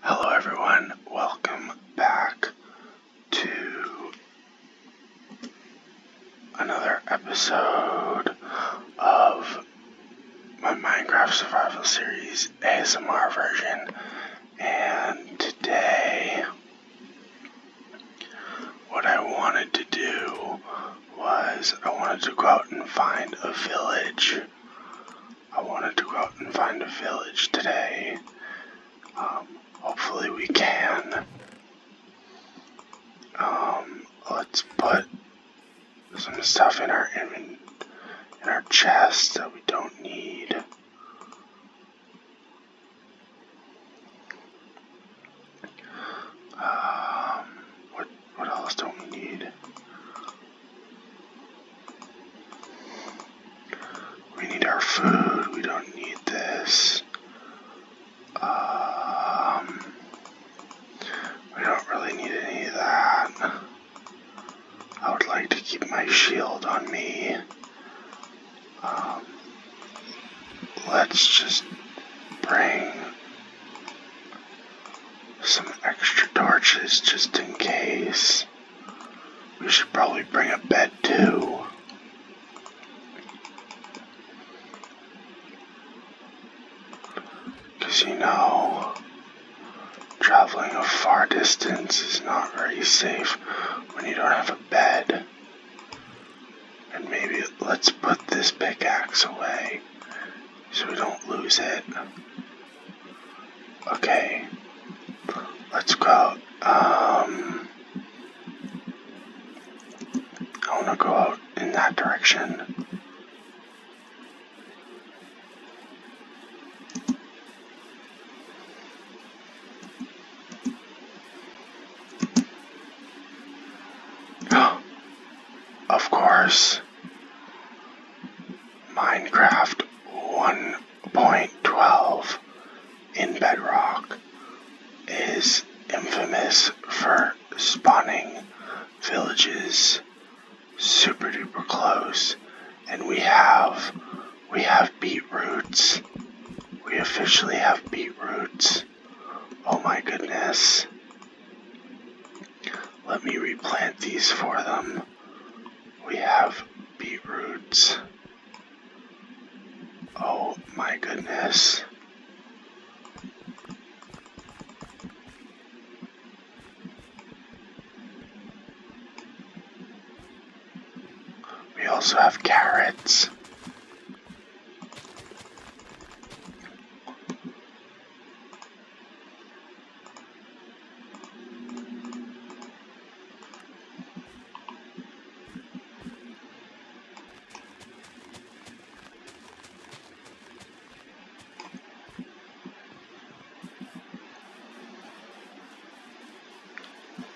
Hello, everyone. Welcome back to another episode of my Minecraft Survival Series ASMR version. And today, what I wanted to do was I wanted to go out and find a village. I wanted to go out and find a village today. Um, hopefully we can. Um, let's put some stuff in our in our chest that we don't need. Um, what what else do we need? We need our food. We don't need this. Um, we don't really need any of that. I would like to keep my shield on me. Um, let's just bring some extra torches just in case. We should probably bring a bed too. Because you know, traveling a far distance is not very safe when you don't have a bed. And maybe let's put this pickaxe away so we don't lose it. Okay. Let's go. Um, I want to go out in that direction. of course, Minecraft 1.12 in Bedrock is infamous for spawning villages super duper close and we have we have roots. we officially have roots. Oh my goodness. Let me replant these for them. We have beetroots. Oh my goodness. We also have carrots.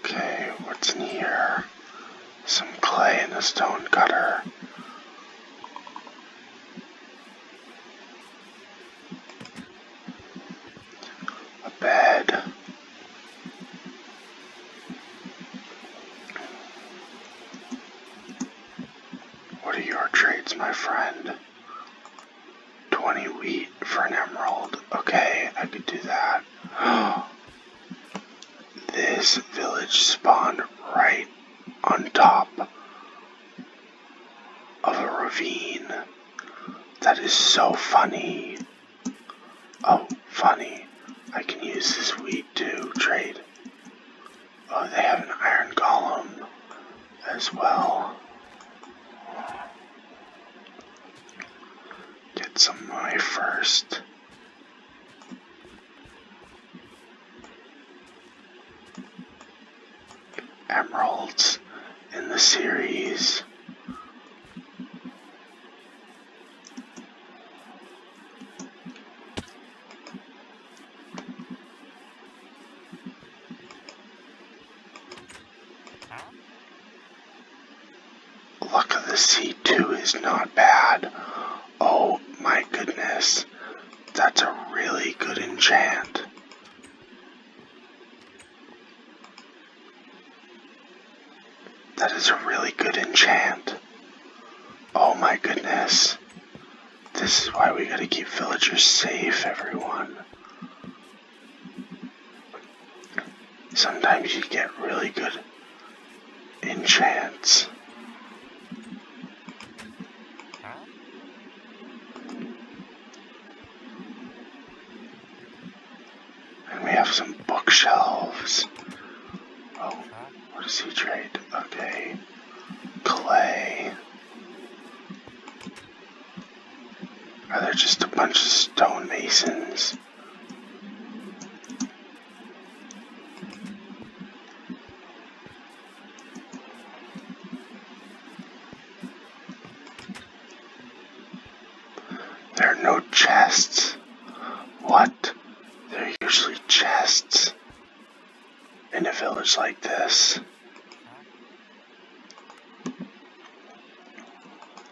Okay, what's in here? some clay in a stone cutter. A bed. What are your trades, my friend? 20 wheat for an emerald. Okay, I could do that. This village spawned right on top of a ravine. That is so funny. Oh, funny. I can use this weed to trade. Oh, they have an iron golem as well. Get some money first emeralds in the series. Look at the C2 is not bad. Oh my goodness. That's a really good enchant. That is a really good enchant. Oh my goodness. This is why we gotta keep villagers safe, everyone. Sometimes you get really good enchants. And we have some bookshelves. Oh, what does he trade? Okay. Clay. Are there just a bunch of stonemasons? There are no chests. What? There are usually chests in a village like this.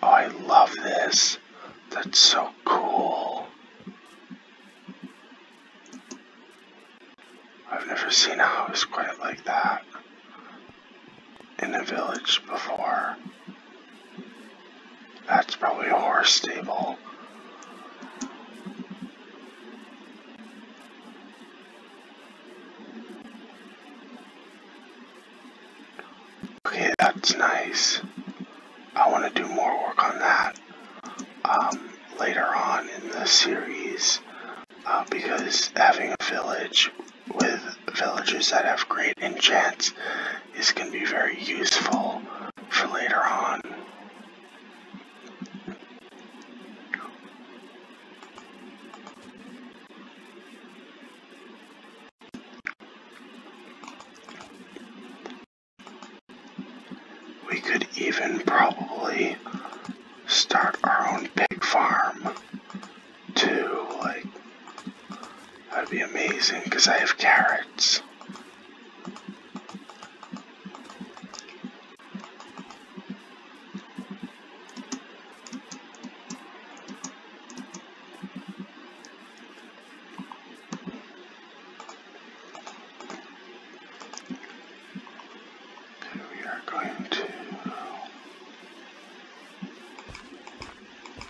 I love this. That's so cool. I've never seen a house quite like that in a village before. That's probably a horse stable. Okay, that's nice. I want to do more work on that um, later on in the series uh, because having a village with villages that have great enchants is going to be very useful for later on. We could even probably start our own pig farm too. Like, that'd be amazing because I have carrots. we are going to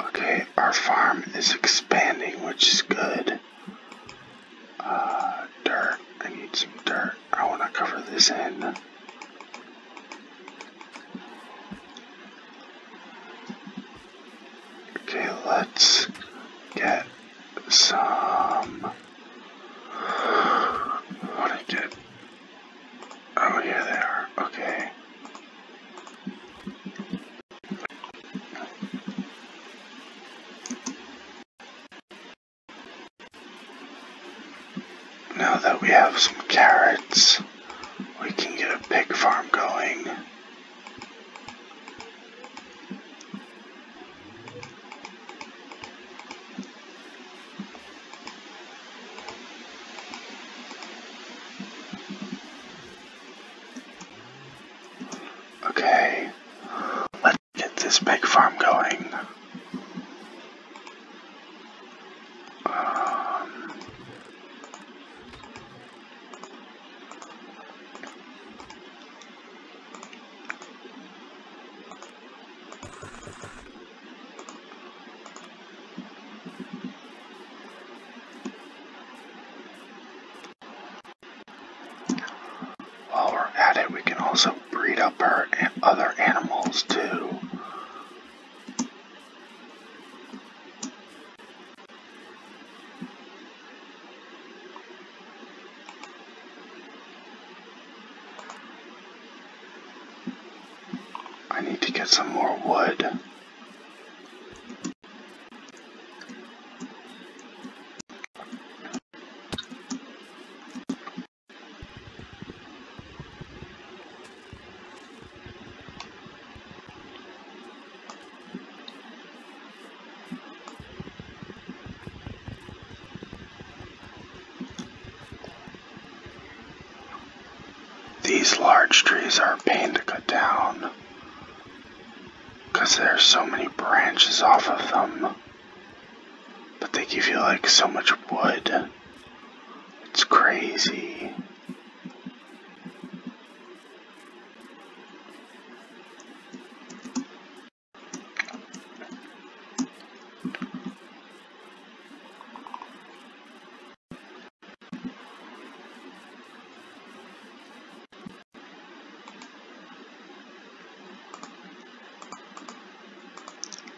Okay, our farm is expanding, which is good. Uh, dirt. I need some dirt. I want to cover this in. Okay, let's get some. What did Oh, here they Okay. Now that we have some carrots, we can get a pig farm going. Okay, let's get this pig farm going while we're at it, we can also breed up our other animals too. I need to get some more wood. These large trees are a pain to cut down because there's so many branches off of them. But they give you like so much wood. It's crazy.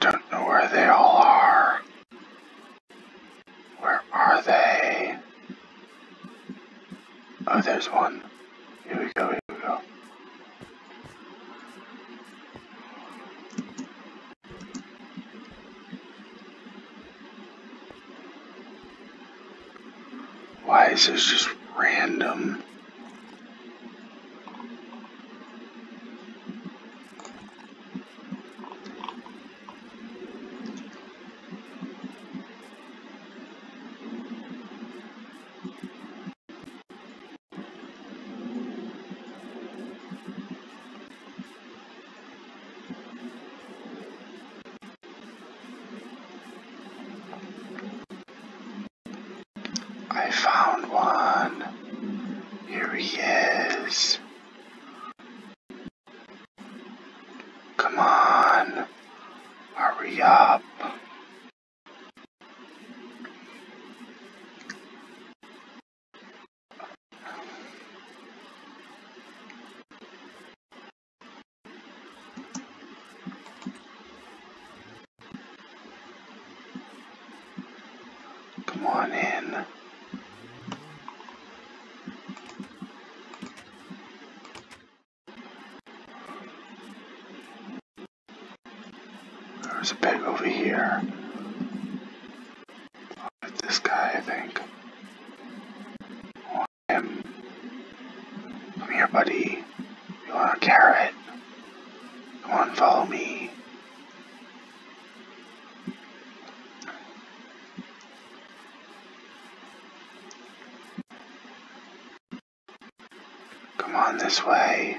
Don't know where they all are. Where are they? Oh, there's one. Here we go, here we go. Why is this just random? I found one. Here he is. Come on. Hurry up. Come on in. There's a pig over here. Oh, it's this guy, I think. Come here, buddy. You want a carrot? Come on, follow me. Come on this way.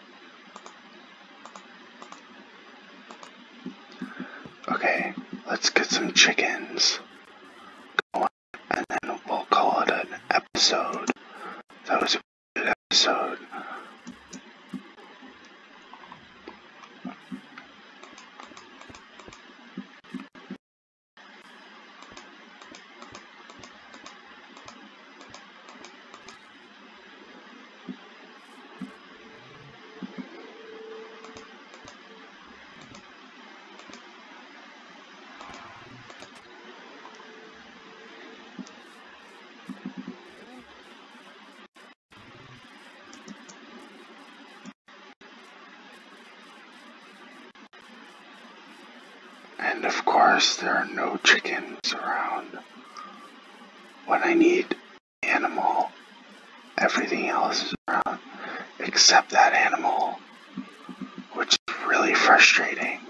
Okay, let's get some chickens and then we'll call it an episode. That was a good episode. And of course, there are no chickens around. When I need animal, everything else is around except that animal, which is really frustrating.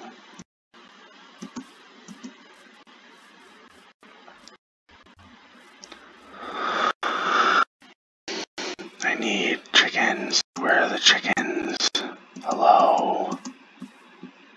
I need chickens. Where are the chickens? Hello?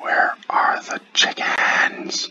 Where are the chickens?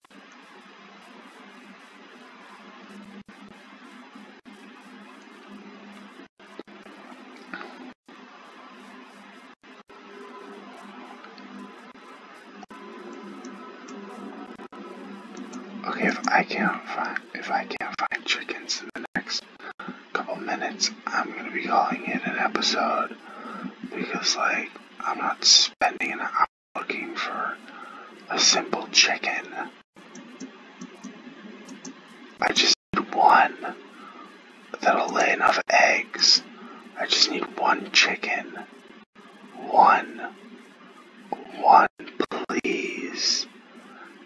Okay, if I can't find if I can't find chickens in the next couple minutes, I'm gonna be calling it an episode because like I'm not spending an looking for a simple chicken. I just need one that'll lay enough eggs. I just need one chicken. One. One, please.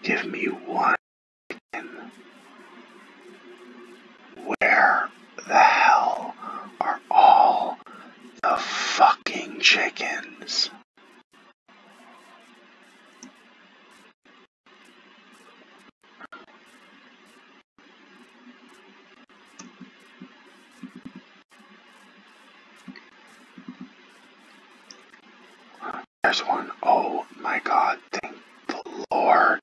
Give me one chicken. Where the hell are all the fucking chickens. There's one. Oh my god, thank the Lord.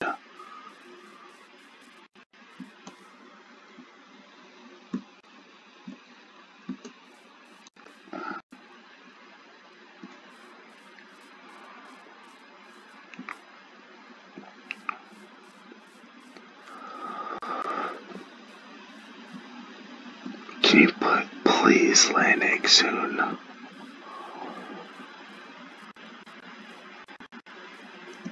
Can you put please land egg soon?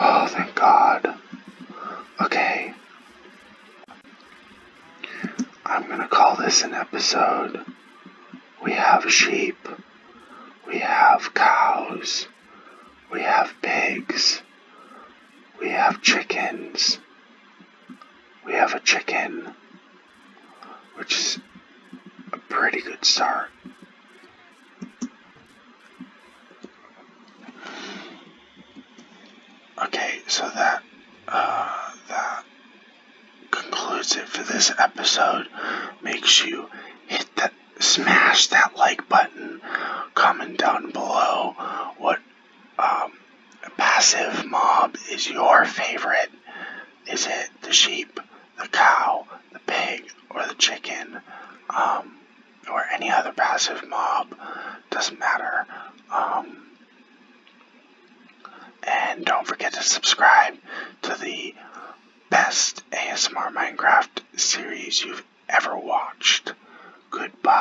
Oh, thank God. Okay. I'm going to call this an episode. We have sheep. We have cows. We have pigs. We have chickens we have a chicken, which is a pretty good start. Okay, so that uh, that concludes it for this episode. Make sure you hit that, smash that like button. Comment down below what um, passive mob is your favorite? Is it the sheep, the cow, the pig, or the chicken, um, or any other passive mob? Doesn't matter. Um, and don't forget to subscribe to the best ASMR Minecraft series you've ever watched. Goodbye.